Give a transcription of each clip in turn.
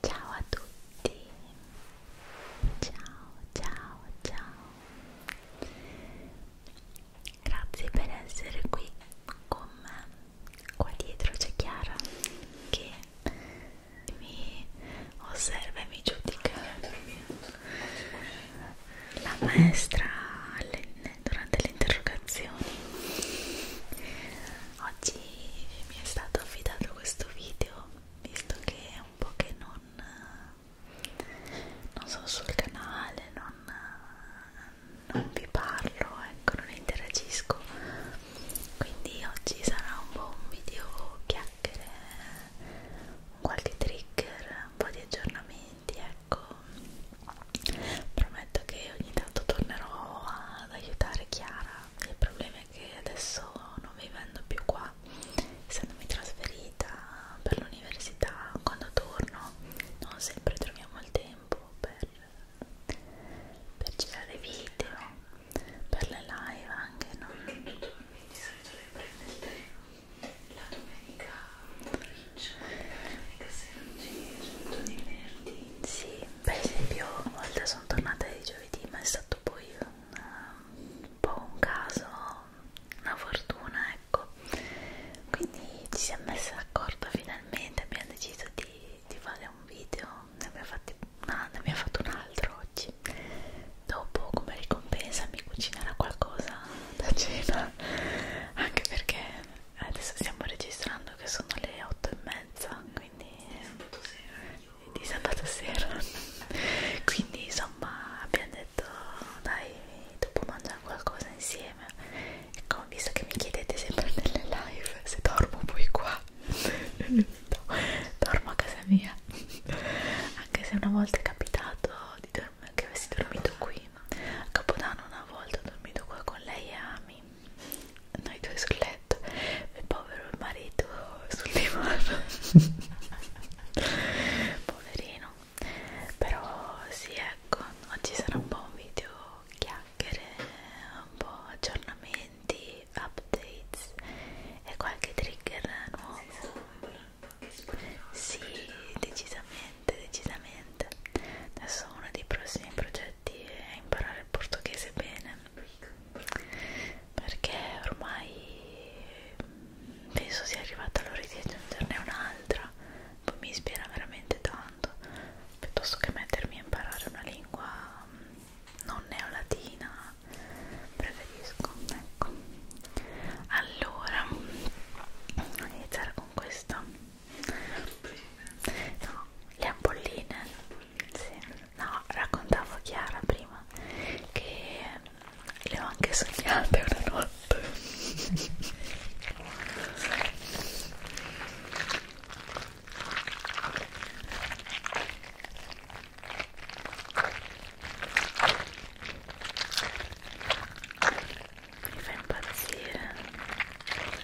Ciao a tutti, ciao ciao ciao, grazie per essere qui con me, qua dietro c'è Chiara che mi osserva e mi giudica, la maestra durante le interrogazioni oggi mi è stato affidato questo video visto che è un po' che non non sono sul canale non, non vi parlo ecco non interagisco quindi oggi sarà un po' un video chiacchiere qualche trigger un po' di aggiornamenti ecco prometto che ogni tanto tornerò ad aiutare Chiara il problema è che adesso non vivendo più qua essendomi trasferita per l'università quando torno non sempre troviamo il tempo per, per girare video per le live anche no? di solito le prendete la domenica la domenica sera di venerdì sì per esempio una volta sono tornata di giovedì ma è stato poi un, un po' un caso, una fortuna ecco quindi ci siamo messi d'accordo finalmente, abbiamo deciso di, di fare un video ne abbiamo, fatti, no, ne abbiamo fatto un altro oggi dopo come ricompensa mi cucinerà qualcosa da cena anche perché adesso stiamo registrando che sono le 8 e mezza quindi di sabato sera quindi insomma abbiamo detto dai dopo mangiamo qualcosa insieme ecco visto che mi chiedete sempre nelle live se dormo poi qua dormo a casa mia anche se una volta è capitato di che avessi dormito qui a Capodanno una volta ho dormito qua con lei e Ami noi due sul letto il povero marito sul divano poverino però sì ecco oggi sarà un po' un video chiacchiere un po' aggiornamenti updates e qualche trigger nuovo sì decisamente decisamente niente adesso uno dei prossimi progetti è imparare il portoghese bene perché ormai mm, penso sia arrivata l'ora di aggiungerne un'altra poi mi ispira veramente tanto piuttosto che mettermi a imparare una lingua mm, non neolatina preferisco ecco allora mm, iniziare con questa No, le ampolline. Sì. No, raccontavo Chiara prima che le ho anche sognate una notte. Mi fa impazzire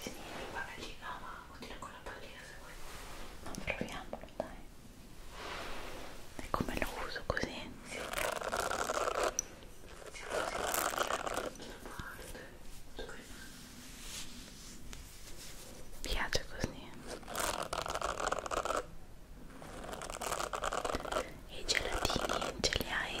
Sì, la pallina, ma continua con la pallina se vuoi. Ma proviamolo, dai. E come lo uso così? Sì. Sì, così. Mi piace così. E i gelatini ce li hai?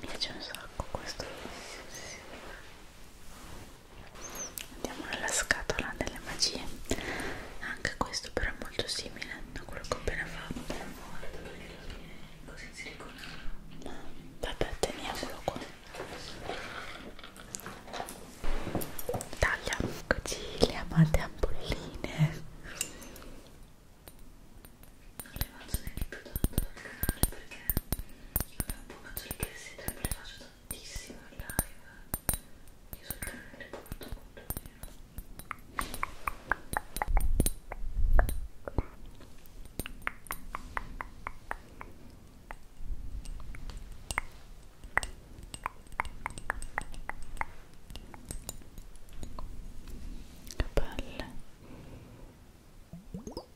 mi piace un sacco questo andiamo nella scatola delle magie anche questo però è molto simile a quello che ho appena fatto guarda perché lo viene così siliconato ma vabbè teniamolo qua taglia Eccoci le amate ampolline non le faccio neanche più tanto dal canale perché io tempo faccio le crescite le faccio tantissimo in live io sul canale le porto molto meno che belle no,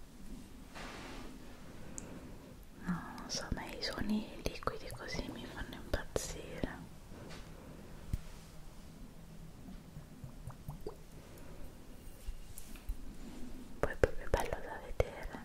non so ma i suoni liquidi così mi fanno impazzire poi è proprio bello da vedere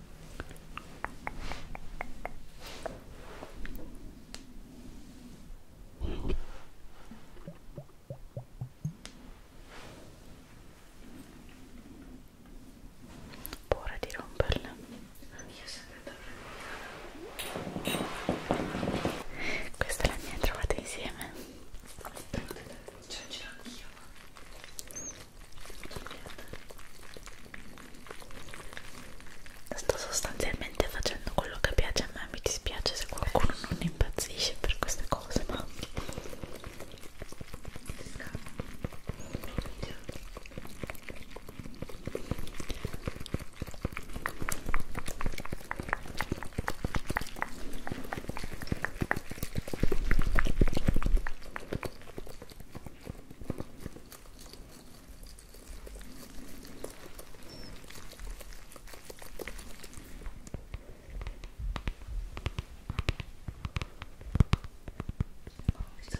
Paura di romperla. Io sempre Questa è la mia trovata insieme. Cioè, ce l'ho anch'io. Sto sostanzialmente facendo quello che piace a me, mi dispiace se qualcuno non impazzisce per queste cose, ma visto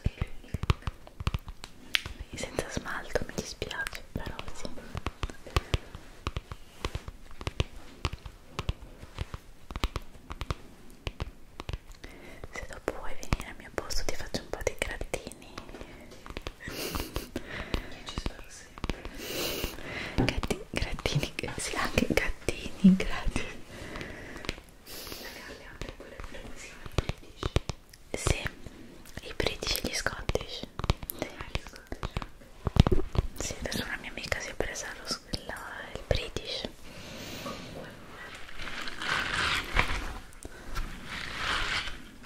che è l'unico senza smalto mi dispiace però sì se dopo vuoi venire al mio posto ti faccio un po' di grattini ci sono sempre gattini, grattini, sì anche gattini, grattini le altre quelle quelle che si british sì, i british e gli scottish ah, sì, adesso una mia amica si è presa lo, la, il British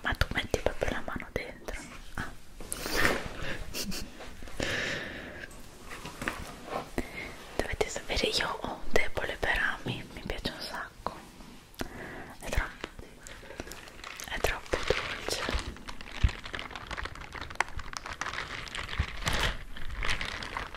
ma tu metti proprio la mano dentro ah. dovete sapere io ho un debole per ami mi piace un sacco è troppo è troppo dolce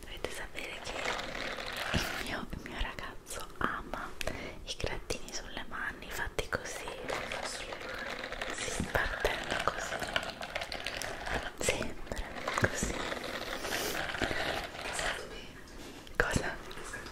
Dovete sapere che il mio, il mio ragazzo ama i grattini sulle mani fatti così, sulle mani, sì, partendo così, sempre così. Cosa?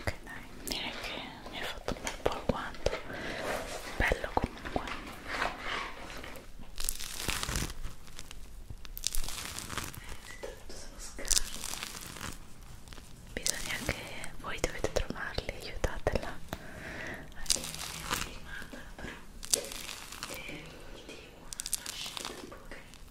ok dai direi che mi hai fatto un bel po' il guanto bello comunque bisogna che voi dovete trovarli aiutatela e quindi una scelta un po' carina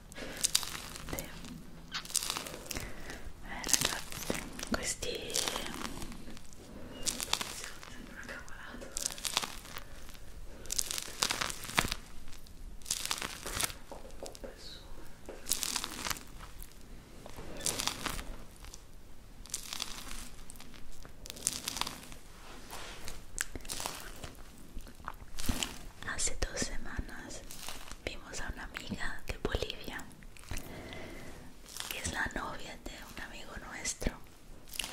sì. eh Hace dos semanas vimos a una amiga de Bolivia que es la novia de un amigo nuestro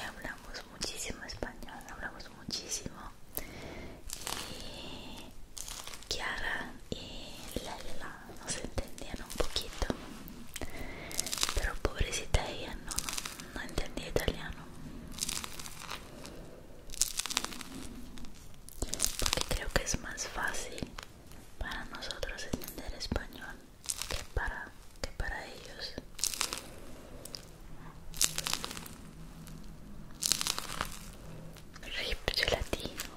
hablamos muchísimo español, hablamos muchísimo y Chiara y Layla nos entendían un poquito pero pobrecita ella no entendía italiano porque creo que es más fácil para nosotros entender español que para, que para ellos. Rip gelatino.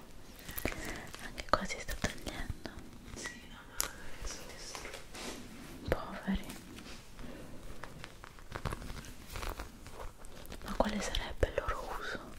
casi ah, cosa sta tagliando? Sì, no, no, Poveri. Ma quale sarebbe il loro uso?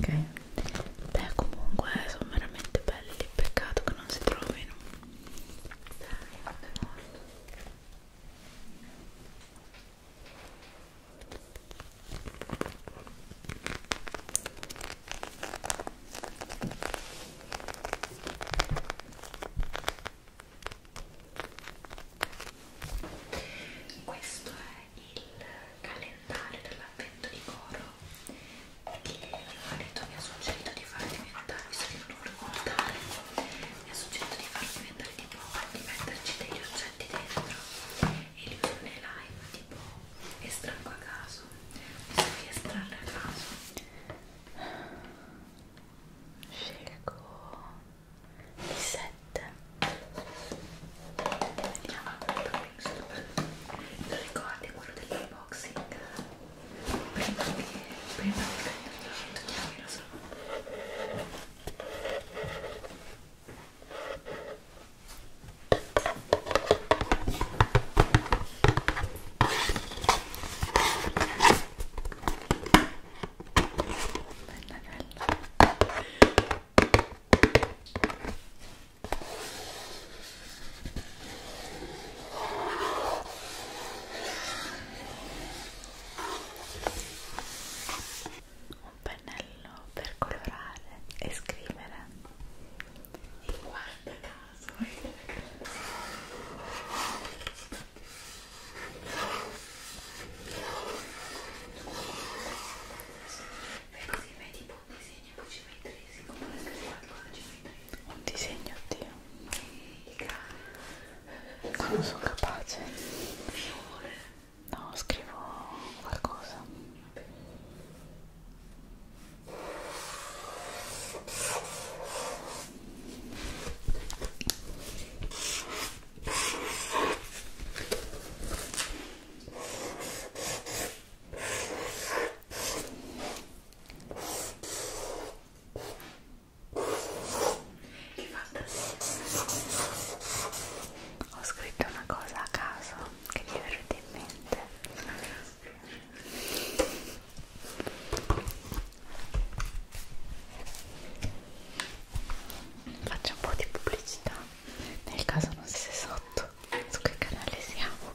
ok beh comunque sono veramente belli peccato che non si trovino dai quando è morto questo è il calendario dell'avvento di coro che mio marito mi ha suggerito di far diventare, visto che non lo volevo guardare, mi ha suggerito di far diventare tipo di metterci degli oggetti dentro e li uso nei live tipo estraggo a caso, visto che estrarre a caso scelgo il 7 vediamo il topping lo ricordi quello dell'unboxing prima che prima che togliamo il rosso Bella, bella un pennello per colorare e scrivere e guarda caso Vedi, tipo un disegno con cimetri, come la scrivata con cimetri. Un disegno, oddio. No, non sono capace. Fiore. No, scrivo qualcosa. Vabbè. Ho scritto una cosa a caso che mi è venuta in mente. Faccio un po' di pubblicità nel caso non siete sotto su che canale siamo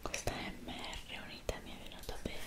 Questa MR unita mi è venuta bene.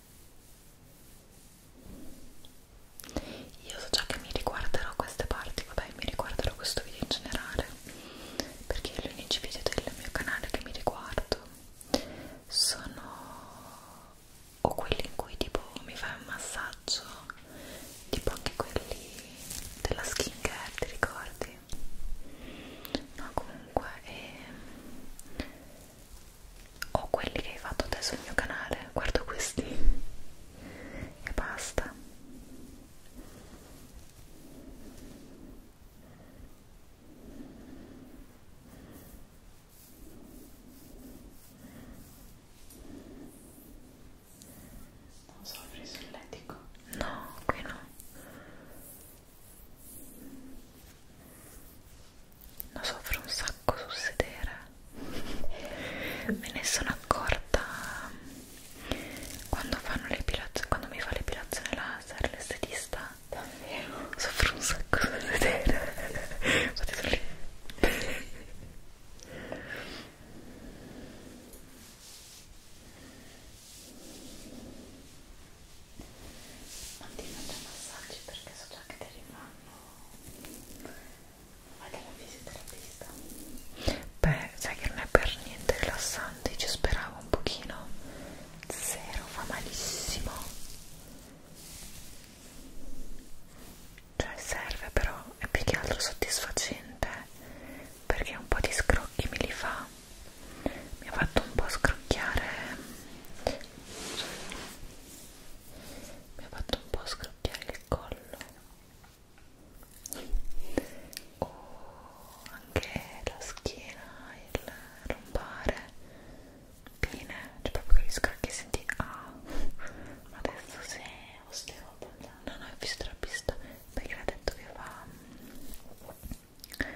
Io so già che mi riguarderò queste parti, vabbè, mi riguarderò questo video in generale, perché gli unici video del mio canale che mi riguardo sono o quelli in cui tipo mi fai un massaggio, tipo anche quelli della skincare, ti ricordi? No, comunque, e ehm, o quelli che hai fatto te sul mio canale guardo questi e basta non so, ho preso il letico? no, qui no non soffro un sacco sul sedere me ne sono accorta um, quando fanno l'epilazione quando mi fa l'epilazione laser l'estetista davvero soffro un sacco sul sedere fate lì non ti faccio massaggi perché so già che te li fanno vai dalla fisioterapista beh sai che non è per niente rilassante ci speravo un pochino zero fa malissimo cioè serve però è più che altro soddisfacente perché un po' di scrocchi me li fa mi ha fatto un po' scrocchiare mi ha fatto un po' scrocchiare il collo o oh, anche la schiena, il lombare bene, cioè proprio capisco che senti ah, ma adesso se osteopata no no, è fisioterapista perché l'ha detto che fa mm,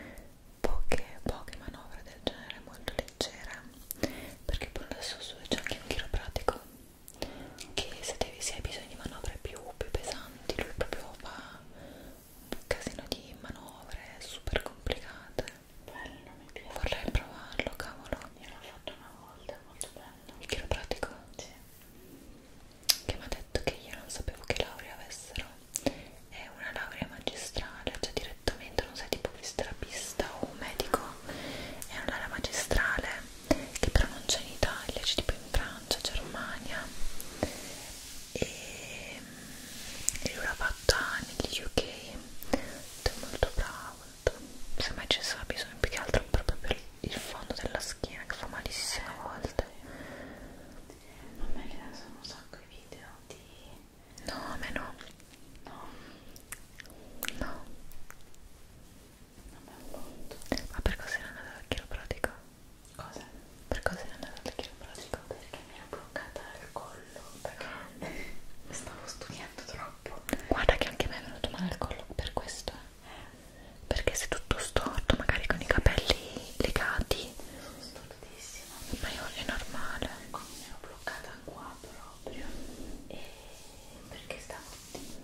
poche, poche manovre del genere molto leggere perché poi adesso su c'è anche un chiropratico che se, devi, se hai bisogno di manovre più, più pesanti lui proprio fa un casino di manovre super complicate bello, mi piace vorrei provarlo, cavolo io l'ho fatto una volta, è molto bello il chiropratico? sì che mi ha detto che io non sapevo che laurea avessero è una laurea magistrale, cioè dire direttamente, non sei tipo fisioterapista o un medico, è un'area magistrale che però non c'è in Italia, c'è tipo in Francia, Germania e, e lui l'ha fatta negli UK è molto bravo, se mai ci sarà bisogno più che altro proprio per il fondo della schiena che fa malissimo a volte a me che sono un sacco di video di No, a me no. No. No. Non me lo conto. Ma per cosa era andata al chiropratico? Cosa? Per cosa era andata al chiropratico? Perché mi era bloccata il collo. Perché stavo studiando troppo. Guarda che anche a me è venuto male il collo per questo. Eh. Eh. Perché sei tutto storto, magari con i capelli legati. Sono stortissima. Ma io è normale. Come ecco, mi ero bloccata qua però proprio e eh, perché stavo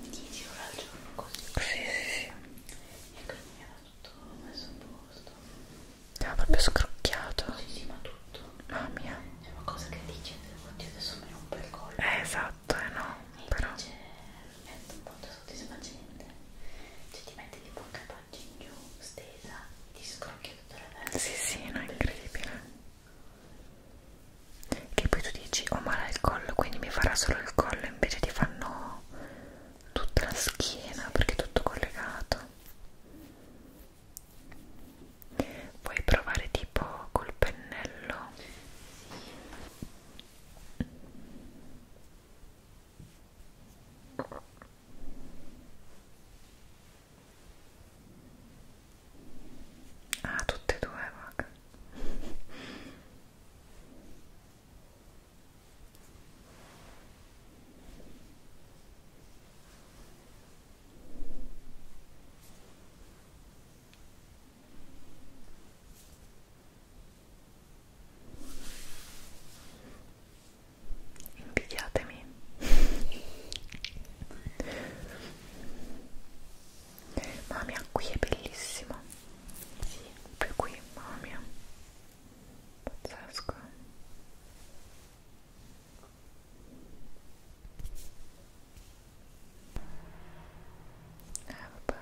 10 ore al giorno così sì, sì. e quindi mi era tutto messo a posto ti ah, proprio scrocchiato sì sì ma tutto ah mia è una cosa che dice oddio adesso mi rompo il collo eh esatto eh no e però invece è molto soddisfacente cioè ti metti tipo anche a pancia in giù stesa ti scrocchia tutta la testa sì sì no è incredibile che poi tu dici ho male al collo quindi mi farà solo il collo invece ti fanno tutta la schiena perché è tutto collegato puoi provare tipo col pennello Ah, tutte e due, vaga. Invidiatemi Mamma mia, qui è bellissimo. Sì, proprio qui, mamma mia. Pazzesco. Eh, vabbè.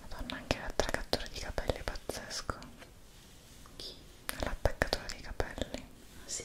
Madonna, anche l'attaccatore di capelli è pazzesco. Chi? L'attaccatore di capelli. Ah, sì.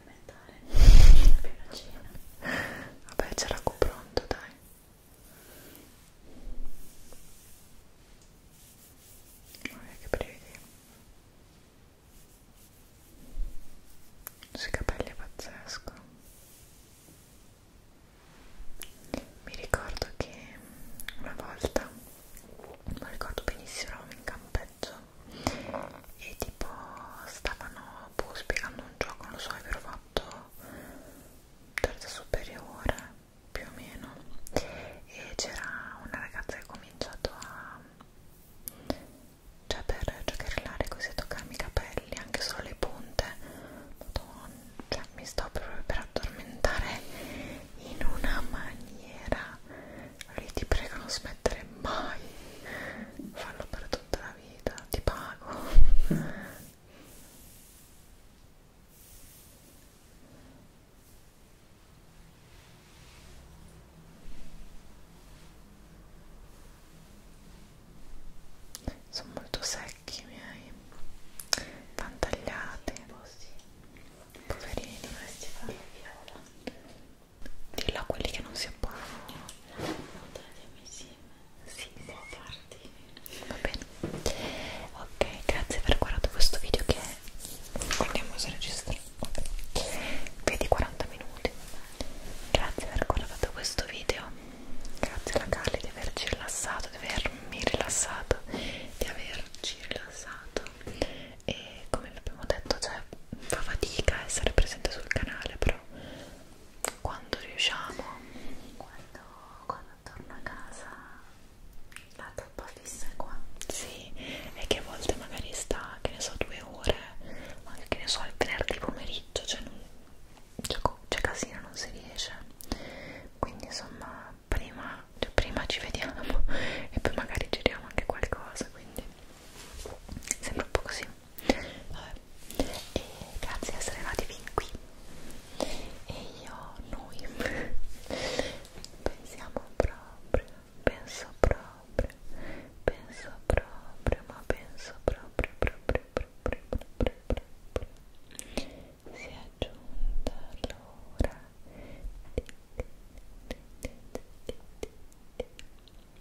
addormentare più la cena vabbè c'era pronto dai Guarda che brividi sui capelli è pazzesco mi ricordo che una volta non ricordo benissimo eravamo in campeggio e tipo stavano dopo boh, spiegando un gioco, non so, avevo fatto terza superiore più o meno e c'era una ragazza che ha cominciato a cioè per giocherellare così a toccarmi i capelli, anche solo le punte Madonna, cioè mi sto proprio per addormentare in una maniera lì ti prego non smettere mai fallo per tutta la vita, ti pago. Sono molto secchi i miei, pantagliati. Poverini, dovresti fare viola. Dillo a quelli che non si abbonano. No, no, tagliami insieme. Sì, sì, tardi. Va bene. Ok, grazie per aver guardato questo video che guardiamo se registro. Vedi 40 minuti. Grazie per aver guardato questo video. Grazie alla Carly di averci rilassato, di avermi rilassato, di averci rilassato. E come abbiamo detto, cioè fa fatica essere presente sul canale, però quando riusciamo quando, quando torno a casa la troppa fissa è qua sì, e che a volte magari sta che ne so due ore anche che ne so il venerdì pomeriggio cioè non c'è cioè, cioè casino non si riesce quindi insomma prima, cioè prima ci vediamo e poi magari giriamo anche qualcosa quindi sembra un po' così Vabbè. E grazie di essere arrivati fin qui. E io, noi, pensiamo proprio, penso proprio, penso proprio, ma penso proprio, proprio, proprio, proprio, proprio. Si è giunta l'ora. Di, di, di, di, di, di, di,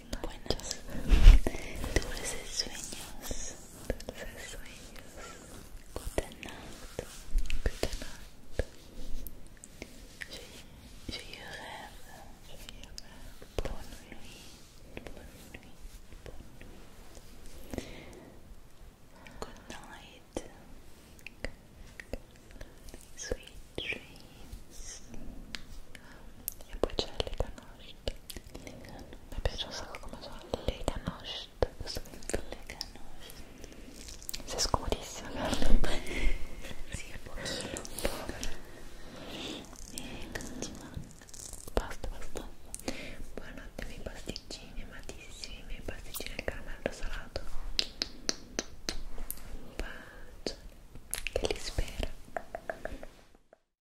buenos, dulces sueños, dulces sueños. Good night, good night. Je, je rêve, nuit, bonne nuit, Good night. Sweet dreams. Я почали до ночи. mi piace un sacco come suona le ganoche questo è le ganoche sei scomodissima sì, un pochino un po' e cosa ci manca? basta, basta buonanotte i miei pasticcini amatissimi i miei pasticcini al caramello salato un bacio che li spero